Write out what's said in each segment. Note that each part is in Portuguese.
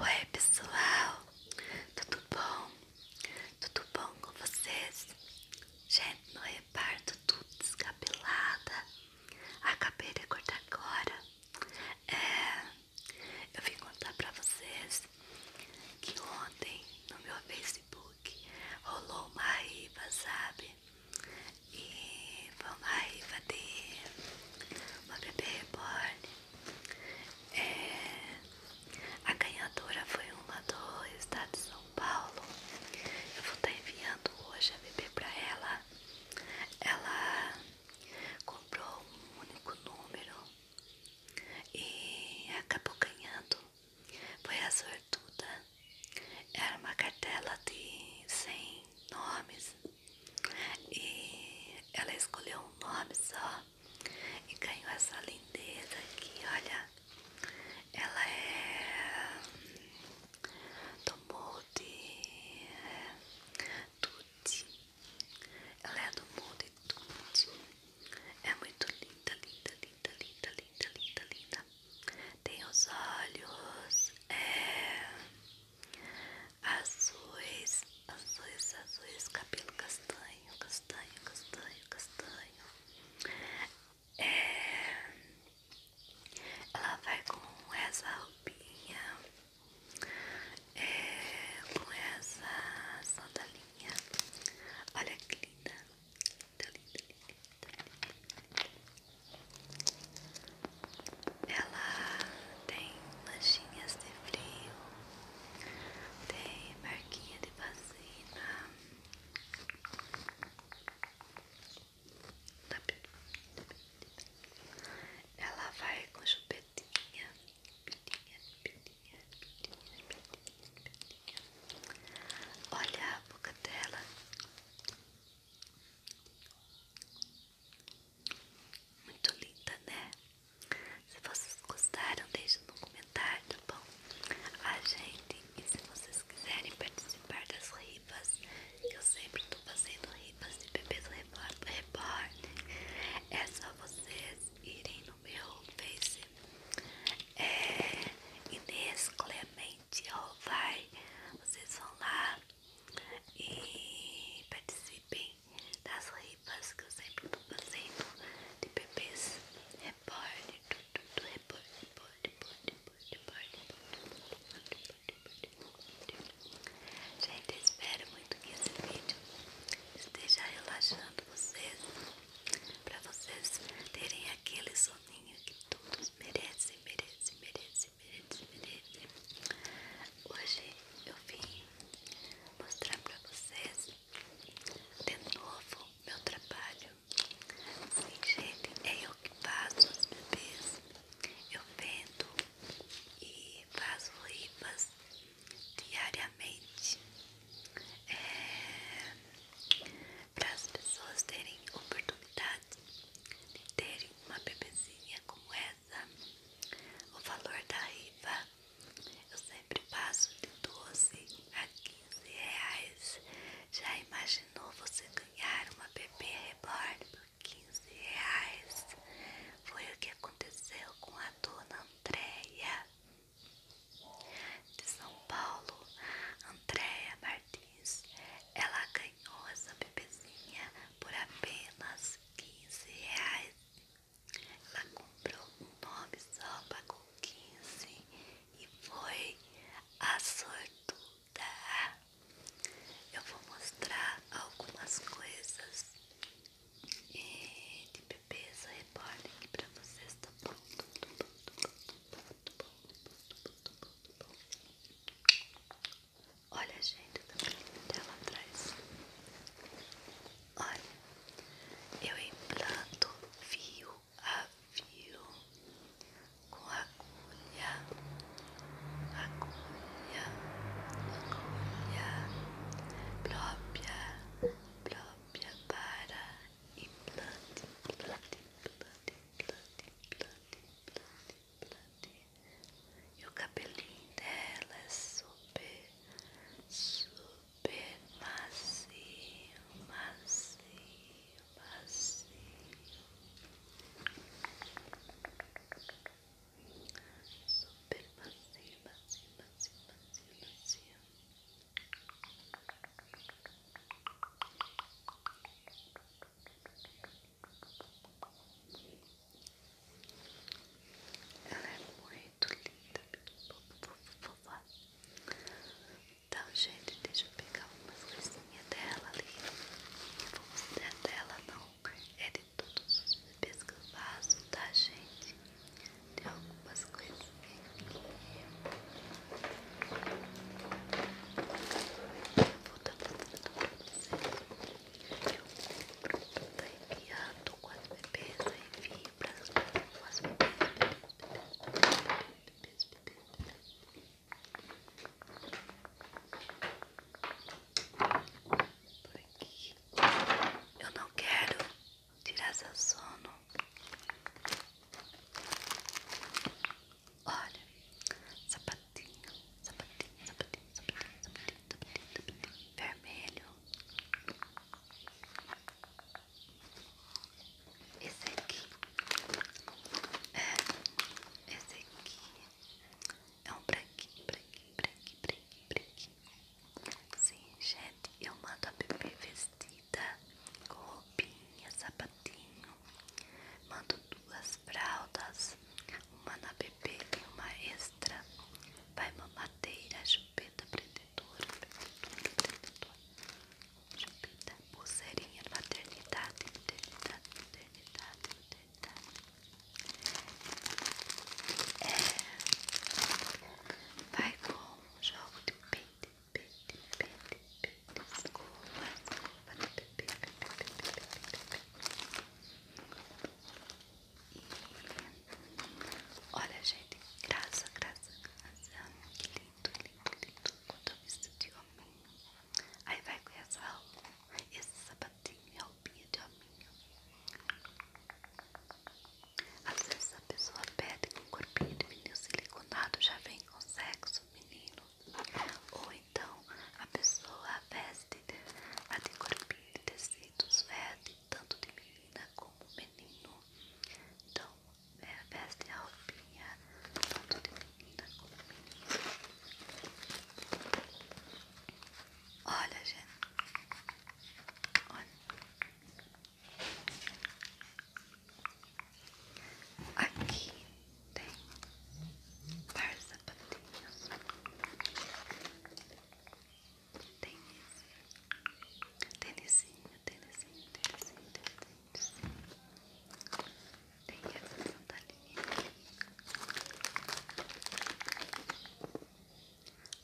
Oi pessoal, tudo bom? Tudo bom com vocês? Gente, no reparto tudo descabelada. Acabei de acordar agora. É, eu vim contar pra vocês que ontem no meu Facebook rolou uma rifa, sabe? E foi uma riva de uma bebê reborn é, a ganhadora foi uma do estado de São Paulo. Eu vou estar tá enviando hoje a bebê para ela. Ela comprou um único número e acabou ganhando. Foi a sortuda. Era uma cartela de 100 nomes. E ela escolheu um nome só e ganhou essa lindeza aqui, olha. Ela é do molde é, Tutti. Ela é do molde Tutti. É muito linda, linda, linda, linda, linda, linda, linda. Tem os olhos é, azuis, azuis, azuis, cabelo castanho, castanho, castanho, castanho. É, ela vai com essa roupinha, é, com essa sandalinha. Olha que linda. Ela tem manchinhas de frio, tem marquinha de vacina, ela vai com chupetinha, pitinha, pitinha, pitinha, Olha a boca dela. Muito linda, né? Se vocês gostaram, deixem no comentário, tá bom? A gente, e se vocês quiserem participar das rifas, que eu sempre tô fazendo rifas de bebês reborn, é só vocês irem no meu Face, é Inês Clemente ó vai vocês vão lá, e participem das rifas que eu sempre tô fazendo de bebês report, tudo, report, report, report, report, report, report, report, Gente, espero muito que esse vídeo esteja relaxando vocês, para vocês terem aquele soninho que todos merecem, merecem, merecem. Hoje eu vim mostrar pra vocês de novo meu trabalho. Sim, gente, é eu que faço os bebês. Eu vendo e faço rifas diariamente. É para as pessoas terem oportunidade de terem uma bebezinha como essa. O valor da rifa eu sempre passo de 12 a 15 reais. Já imaginou você ganhar uma bebê reborn por 15 reais? Foi o que aconteceu com a dona Andréia de São Paulo, Andréia Martins. Ela ganhou essa bebezinha por apenas 15 reais. Ela comprou um nome só, pagou 15 e foi a sortuda. Eu vou mostrar algumas coisas e eh, de bebês reborn aqui pra vocês, tá bom? Olha, gente, o cabelinho dela atrás. Olha, eu implanto fio a fio com agulha, agulha, agulha própria, própria para implante, implante, implante, e o cabelinho dela é super, super macio, macio, macio. Super macio, macio, macio, macio, macio. Ela é muito linda, fofa. Então, gente, deixa eu pegar umas coisinhas dela ali. Eu vou mostrar dela, não. É de todos os bebês tá, gente? Tem algumas coisas aqui. Vou dar pra vocês. Tá enviado com as bebês. Aí enfim, pra as bebês, bebês, bebês, bebês, por aqui eu não quero tirar seu sono. Olha, sapatinho, sapatinho, sapatinho, sapatinho, sapatinho, sapatinho, sapatinho vermelho. Esse aqui é, esse aqui é um branquinho, branquinho, branquinho, branquinho, branquinho. Sim, gente, eu mando a bebê vestida com roupinha, sapatinho. Mando duas fraldas, uma na bebê e uma extra. Vai mamadeira, chupeta, prendedora, Chupeta, pulseirinha, maternidade, maternidade, maternidade, maternidade. É, vai com jogo de peito, peito, peito, peito, olha, gente, graça, graça, graça, que lindo, lindo, lindo, quando eu visto de homem. Aí vai com essa roupa, essa sapatinha, roupinha de homem. Às vezes a pessoa pede um corpinho de menino siliconado, já vem com sexo menino. Ou então a pessoa veste a de corpinho de tecidos, veste tanto de menina como menino. Então é, veste a roupinha tanto de menina como menino. Olha, gente. Olha. Aqui tem par de sapatinhos. Tem esse tênisinho, tênisinho, tênisinho, tênisinho. Tem essa sandalinha aqui.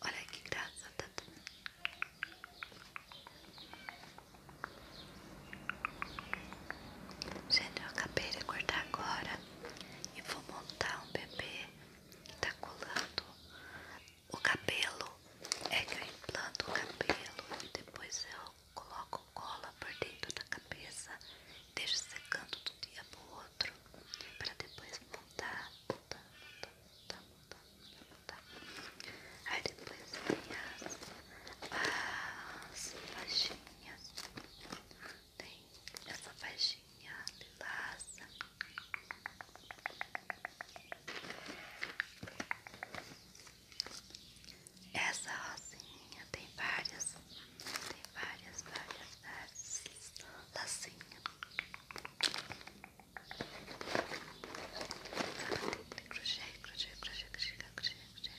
Olha que graça, tá tudo. Gente, eu acabei de cortar agora e vou montar um bebê que tá colando o cabelo. É que eu implanto o cabelo e depois eu coloco cola por dentro da cabeça, deixo secando do dia pro outro, para depois montar montando, tá montando, Aí depois tem as, as Tem essa faixinha lilaça. Essa rosinha tem várias, várias, várias, várias lasanha. Crochê, crochê, crochê, crochê, crochê, crochê,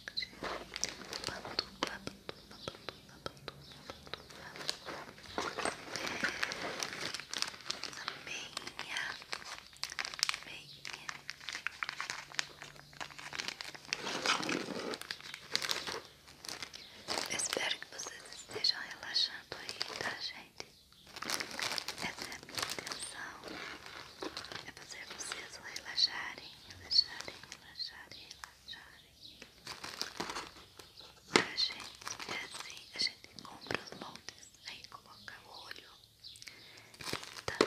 crochê. Bandu, bandu, bandu, bandu, bandu. Também Bem, bem espero que vocês estejam relaxando aí, tá, gente? Essa é a minha intenção: é fazer vocês relaxarem, relaxarem, relaxarem, relaxarem. A gente é assim: a gente compra os moldes, aí coloca o olho, pinta, tá.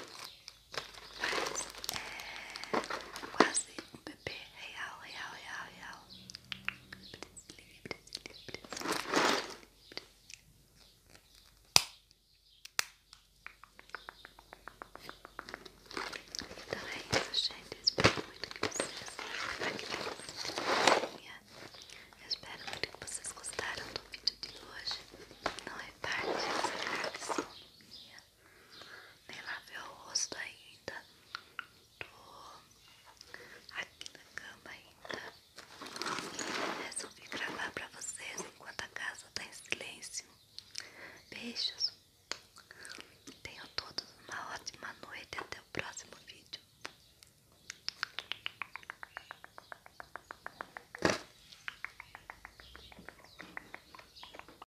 Mas é, quase um bebê real, real, real, real. Libres, libres, libres. Então é isso, gente. Eu espero muito que vocês Eu espero muito que vocês gostaram do vídeo de hoje. Não repare essa reação minha nem lavei o rosto ainda, tô aqui na cama ainda resolvi gravar pra vocês enquanto a casa tá em silêncio. Beijos, tenham todos uma ótima noite até o próximo vídeo.